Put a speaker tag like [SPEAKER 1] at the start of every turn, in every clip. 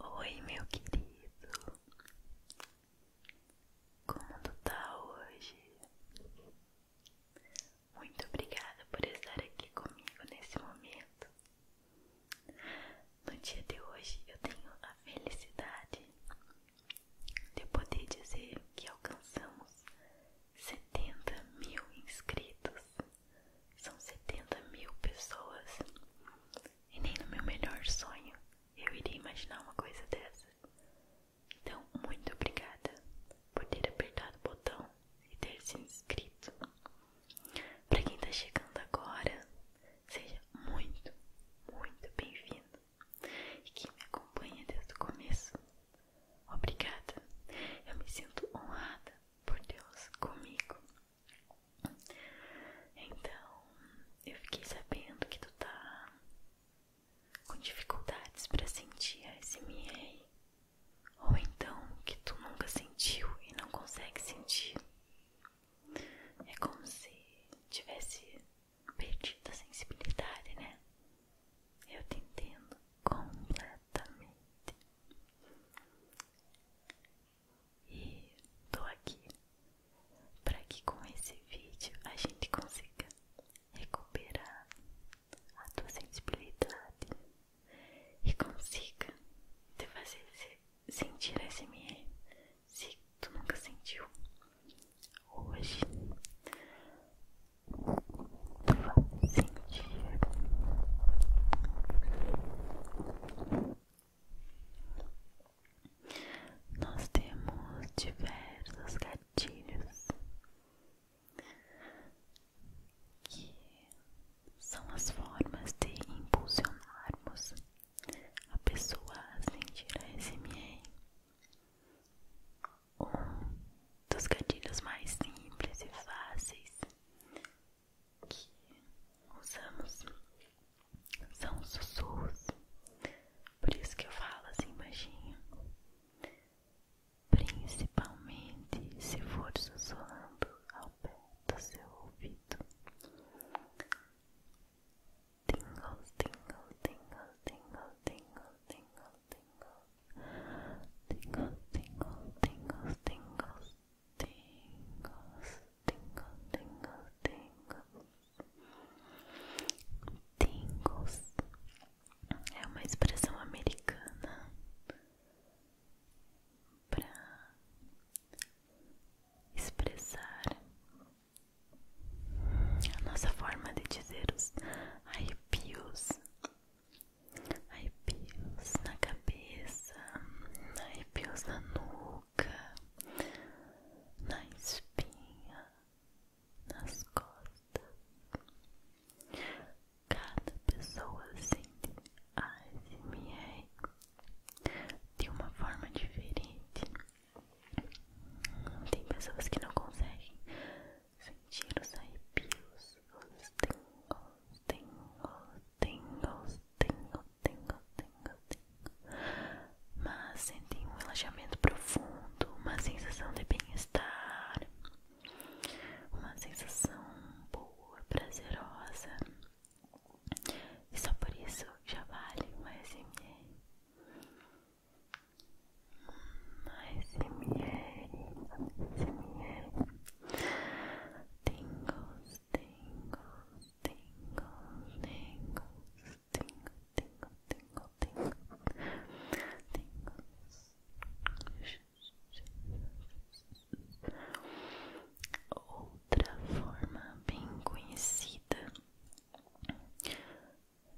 [SPEAKER 1] Oi, meu querido, como está hoje? Muito obrigada por estar aqui comigo nesse momento. No dia de hoje eu tenho a felicidade de poder dizer que alcançamos 70 mil inscritos. São 70 mil pessoas. E nem no meu melhor sonho eu iria imaginar uma coisa dessa. Então, muito obrigada por ter apertado o botão e ter se inscrito. Para quem está chegando agora, seja muito, muito bem-vindo. E quem me acompanha desde o começo, Obrigada. Eu me sinto honrada por Deus comigo. Então, eu fiquei sabendo que tu tá com dificuldades para sentir a SMA. Ou então que tu nunca sentiu e não consegue sentir. É como se tivesse perdido a sensibilidade, né? Eu te entendo completamente. E tô aqui para que com esse vídeo a gente consiga recuperar a tua sensibilidade e consiga te fazer sentir SMR se tu nunca sentiu hoje sentir nós temos diversos gatilhos que são as formas de impulsionarmos a pessoa a sentir a SMI um dos gatilhos mais simples e fáceis que usamos são os sussurros. Por isso que eu falo assim baixinho. Principalmente se for sussurrando ao pé do seu ouvido. Tingle, tingle, tingle, tingle, tingle, tingle, tingles, tingles, tingles, tingles, tingles, tingles, tingles, tingles, tingles. É uma expressão americana para expressar a nossa forma de dizer os arrepios arrepios na cabeça, arrepios na nuca, na espinha, nas costas. Cada pessoa sente ASMR de uma forma diferente. Tem pessoas que não conseguem sentir os arrepios, os tingles, tingles, tingles, tingles, tingles, tingles, tingles. Mas sentem um relaxamento profundo, uma sensação de bem-estar, uma sensação boa, prazerosa. E só por isso já vale um SMR. ASMR, ASMR, tingles, tingles, tingles, tingles, tingles, tingles, tingles, tingles, tingles. Outra forma bem conhecida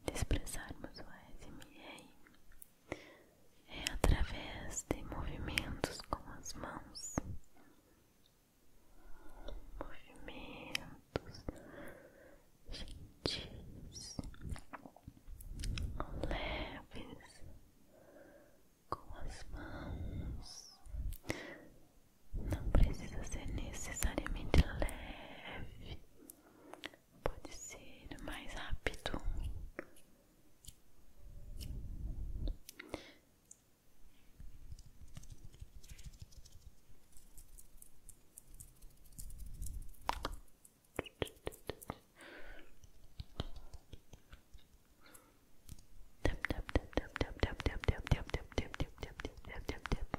[SPEAKER 1] de expressarmos o ASMR é através de movimentos com as mãos, movimentos gentis, leves com as mãos. Não precisa ser necessariamente leve, pode ser mais rápido. Tap tap tap tap tap tap tap tap tap tap tap tap tap tap tap tap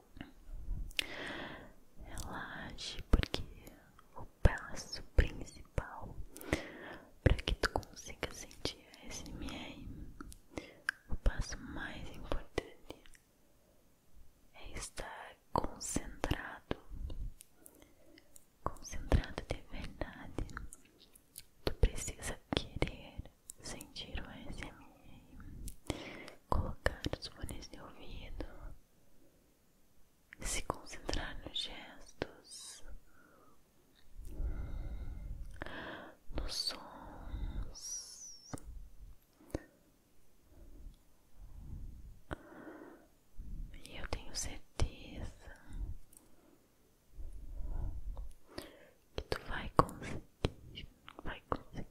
[SPEAKER 1] Relaxe, porque o passo principal para que tu consiga sentir a SMR, o passo mais importante é estar concentrado, concentrado de verdade. Tu precisa querer sentir o SMR colocar os fones de ouvido, se concentrar nos gestos, nos sons. E eu tenho certeza que tu vai conseguir, vai conseguir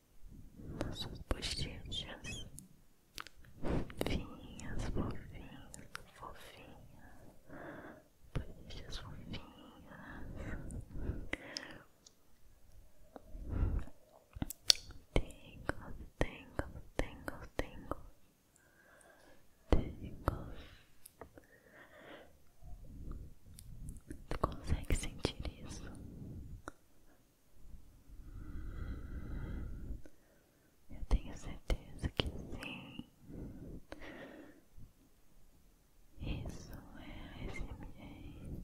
[SPEAKER 1] nas suas bochechas fofinhas, fofinhas, fofinhas, fofinhas. Tingles, tingles, tingles, tingles, tingles. Tu consegue sentir isso? Eu tenho certeza que sim. Isso é esse SMA.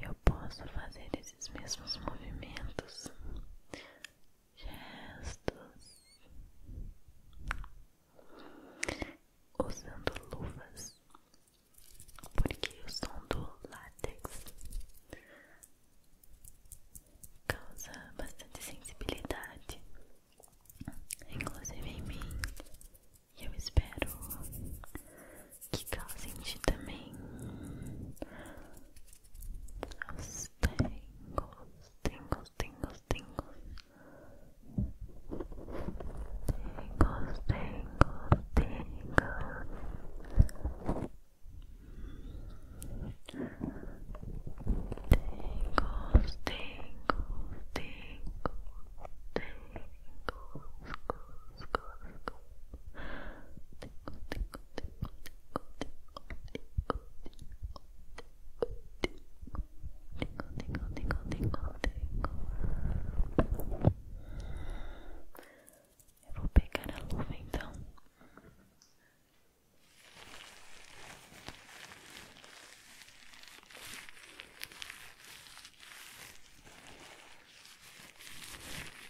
[SPEAKER 1] eu posso fazer esses mesmos movimentos, gestos, usando luvas, porque o som do látex causa bastante sensibilidade, inclusive em mim, e eu espero que causem tá te também os tingles, tingles, tingles, tingles, tingles, tingles, tingles, tingles, tingles, tingles. Eu vou pegar a luva então.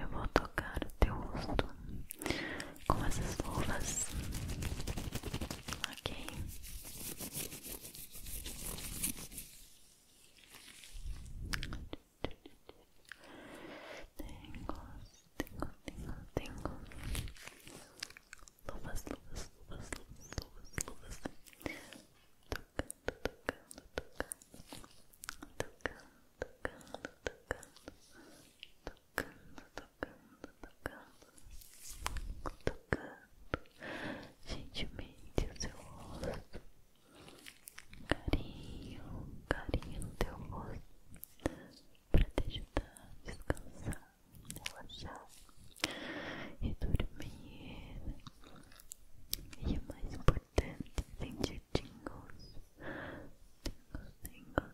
[SPEAKER 1] Eu vou tocar o teu rosto com essas luvas, ok? Tengo, tenho, tenho, tenho, luvas, luvas, luvas, luvas, luvas, luvas, tocando, tocando, tocando, tocando, tocando, tocando, tocando, tocando, tocando, tocando gentilmente o seu rosto, carinho, carinho no teu rosto, para te ajudar a descansar, relaxar e dormir. E o mais importante, sentir tingos tingos tingles.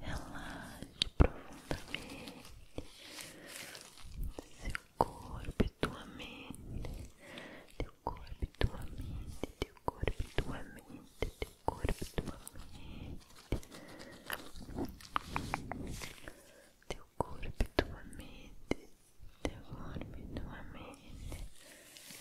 [SPEAKER 1] Relaxe profundamente seu corpo tua mente, teu corpo e tua mente, teu corpo e tua mente, teu corpo e tua mente, teu corpo e tua mente, teu corpo e tua mente.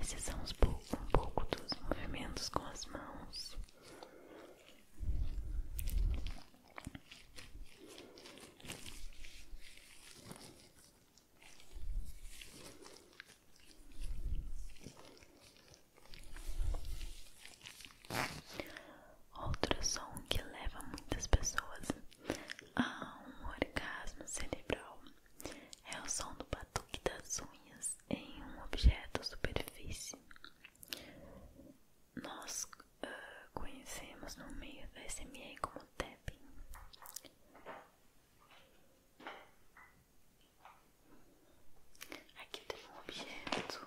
[SPEAKER 1] Esses são um pouco, um pouco dos movimentos com as mãos. Outro som que leva muitas pessoas a um orgasmo cerebral é o som do batuque das unhas em um objeto ou superfície. Nós ah, conhecemos no meio da SMA como tapping. Aqui tem um objeto.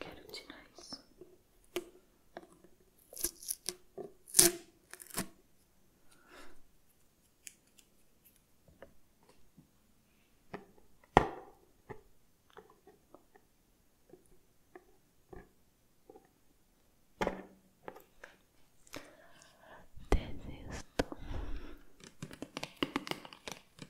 [SPEAKER 1] Quero tirar isso. Desisto.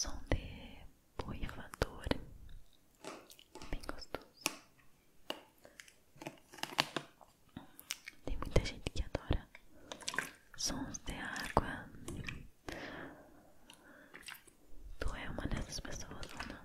[SPEAKER 1] som de boia borrifador, bem gostoso. Tem muita gente que adora sons de água. Tu é uma dessas pessoas, não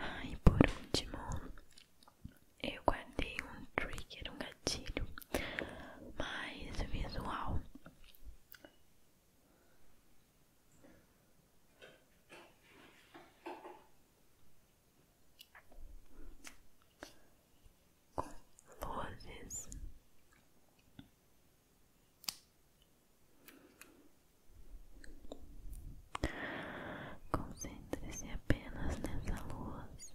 [SPEAKER 1] Ah, e por último, eu guardei um trigger, um gatilho mais visual luzes Concentre-se apenas nessa luz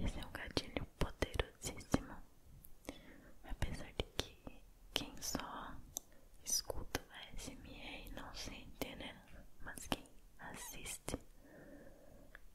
[SPEAKER 1] Esse é um gatilho poderosíssimo, apesar de que quem só escuta a SMR não sente, né? Mas quem assiste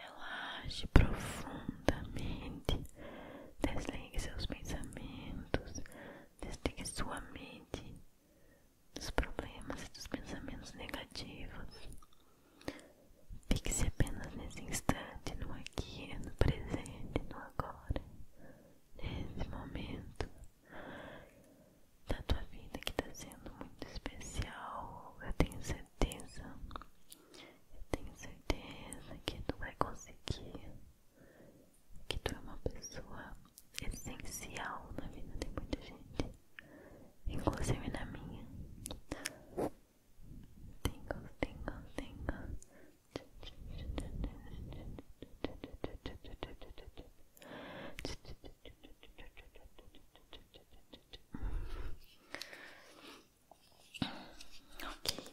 [SPEAKER 1] Relaxe profundamente, desligue seus pensamentos, desligue sua mente dos problemas e dos pensamentos negativos. Fique-se apenas nesse instante, no aqui, no presente, no agora, nesse momento da tua vida que tá sendo muito especial. Eu tenho certeza, eu tenho certeza que tu vai conseguir, que tu é uma pessoa essencial na vida de muita gente, inclusive na minha. Tingle, tingle, tingle. Ok,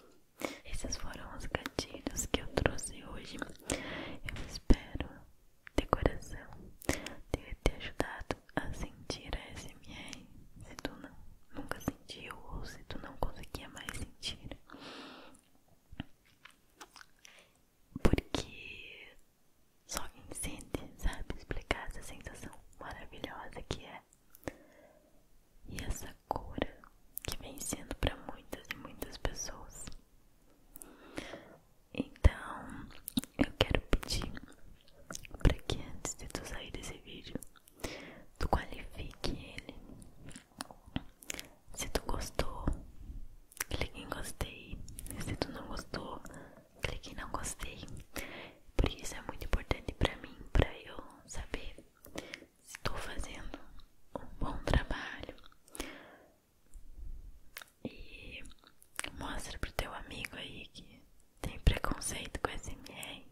[SPEAKER 1] esses foram os gatilhos que eu trouxe hoje. Eu espero de coração ter te ajudado a sentir a SMR. Se tu não, nunca sentiu ou se tu não conseguia mais sentir porque só quem sente sabe, explicar essa sensação maravilhosa que é. E essa cura que vem sendo para muitas e muitas pessoas. Então, eu quero pedir para que antes de tu sair desse vídeo, tu qualifique ele se tu gostou, clique em gostei. Se tu não gostou, clique em não gostei. Por isso é muito importante para mim, pra eu saber se estou fazendo um bom trabalho. E mostra pro teu amigo aí que tem preconceito com SMR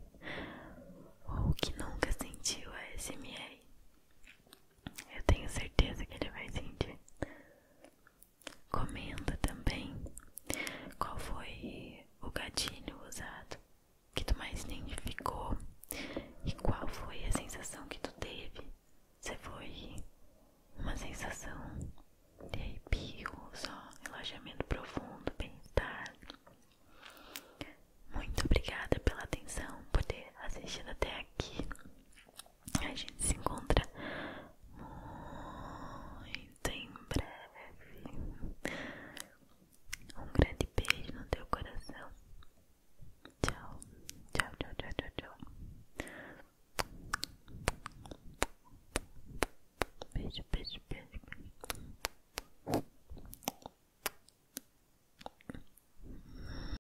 [SPEAKER 1] ou que nunca sentiu a SMR. Eu tenho certeza que ele vai sentir. Comenta também qual foi o gatilho usado que tu mais identificou e qual foi a sensação que tu teve. Se foi uma sensação de arrepio, só relaxamento profundo, bem-estar. Muito obrigada pela atenção, por ter assistido até aqui. A gente se encontra muito em breve. Um grande beijo no teu coração. Tchau, tchau, tchau, tchau, tchau, Beijo, beijo, beijo, beijo.